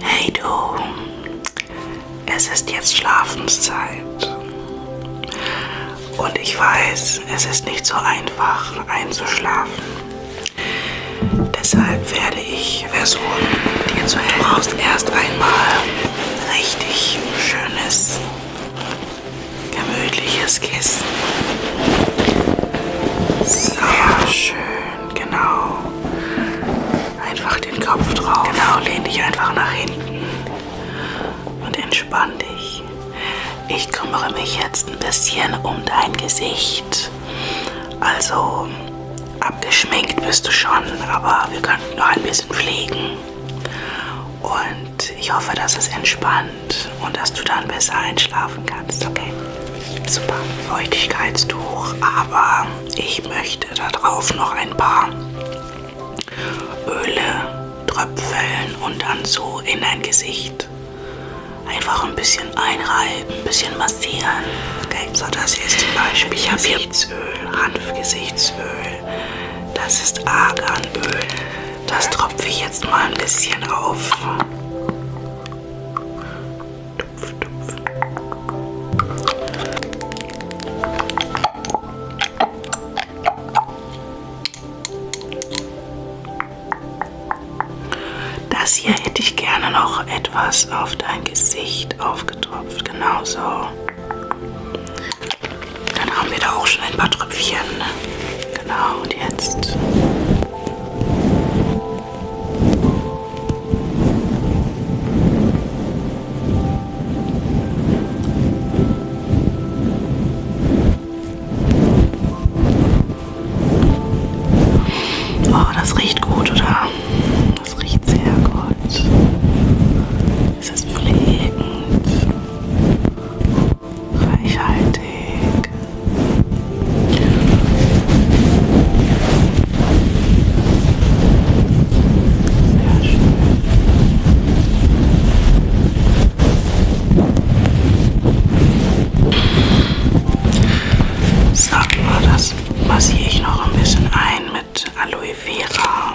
Hey du, es ist jetzt Schlafenszeit. Und ich weiß, es ist nicht so einfach einzuschlafen. Deshalb werde ich versuchen, dir zu helfen. Du brauchst erst einmal richtig schönes, gemütliches Kissen. Sehr schön genau. Einfach den Kopf drauf. Genau, lehn dich einfach nach hinten und entspann dich. Ich kümmere mich jetzt ein bisschen um dein Gesicht. Also abgeschminkt bist du schon, aber wir könnten noch ein bisschen pflegen. Und ich hoffe, dass es entspannt und dass du dann besser einschlafen kannst, okay? Super. Feuchtigkeitstuch, aber ich möchte darauf noch ein paar Öle tröpfeln und dann so in dein Gesicht einfach ein bisschen einreiben, ein bisschen massieren. Okay, so das hier ist zum Beispiel ich Gesichtsöl, Hanfgesichtsöl. Das ist Arganöl. Das tropfe ich jetzt mal ein bisschen auf. Das hier hätte ich gerne noch etwas auf dein Gesicht aufgetropft, genauso. Dann haben wir da auch schon ein paar Tröpfchen. Genau, und jetzt Oh, das riecht gut, oder? Das riecht sehr gut. Es ist pflegend, reichhaltig. Sehr schön. Sag mal, das massiere ich noch ein bisschen ein mit Aloe Vera.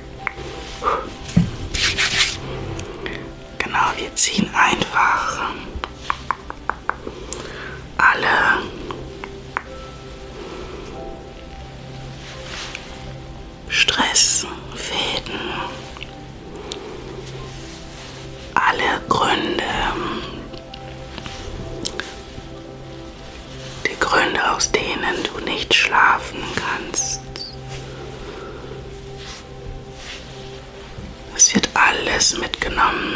Genau, wir ziehen einfach alle Stressfäden, alle Gründe, die Gründe, aus denen du nicht schlafen kannst. Es wird alles mitgenommen.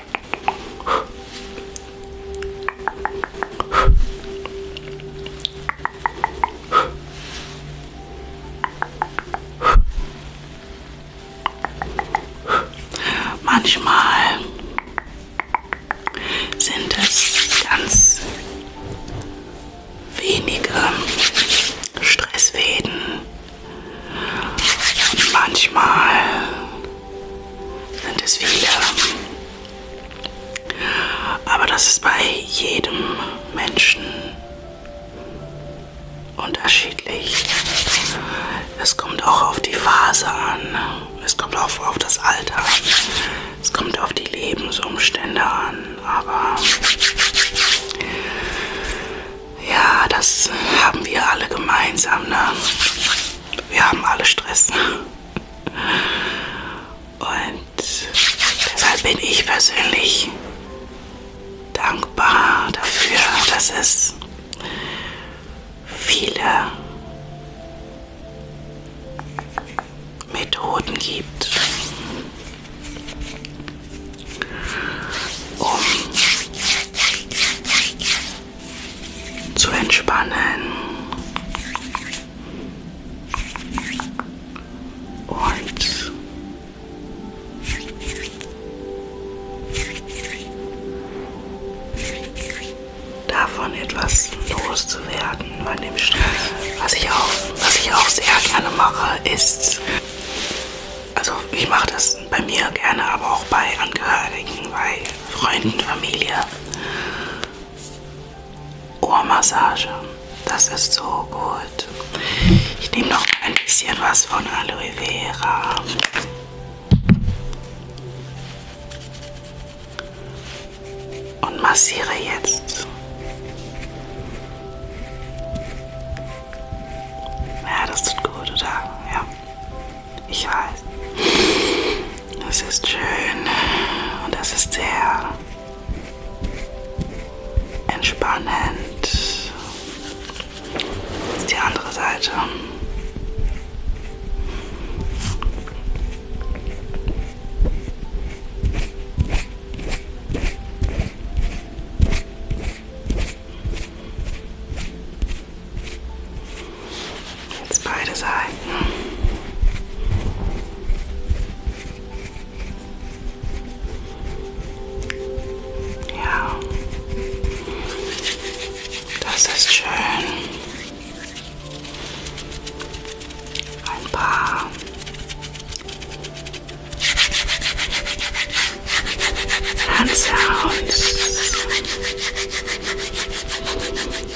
Manchmal sind es ganz wenige Stressfäden und manchmal Deswegen. Aber das ist bei jedem Menschen unterschiedlich. Es kommt auch auf die Phase an. Es kommt auch auf das Alter an. Es kommt auf die Lebensumstände an. Aber ja, das haben wir alle gemeinsam. Ne? Wir haben alle Stress. Und deshalb bin ich persönlich dankbar dafür, dass es viele Methoden gibt, um zu entspannen und davon etwas loszuwerden bei dem Stress. Was ich auch, was ich auch sehr gerne mache, ist also ich mache das bei mir gerne, aber auch bei Angehörigen, weil Freunden, Familie. Ohrmassage. Das ist so gut. Ich nehme noch ein bisschen was von Aloe Vera. Und massiere jetzt. Ja, das tut gut, oder? Ja. Ich weiß. Es ist schön und es ist sehr entspannend. Jetzt die andere Seite. It's bright as I. Yeah. Does this churn and palm?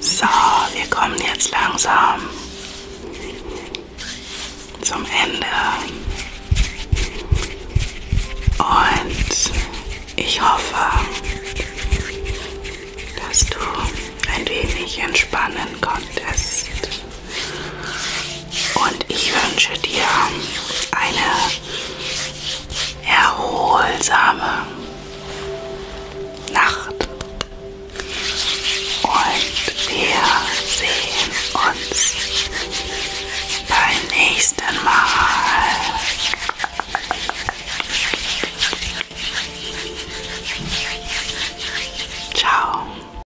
So, wir kommen jetzt langsam zum Ende. Und ich hoffe, dass du ein wenig entspannen konntest. Und ich wünsche dir eine erholsame Nacht. Und wir sehen uns beim nächsten Mal. Ciao.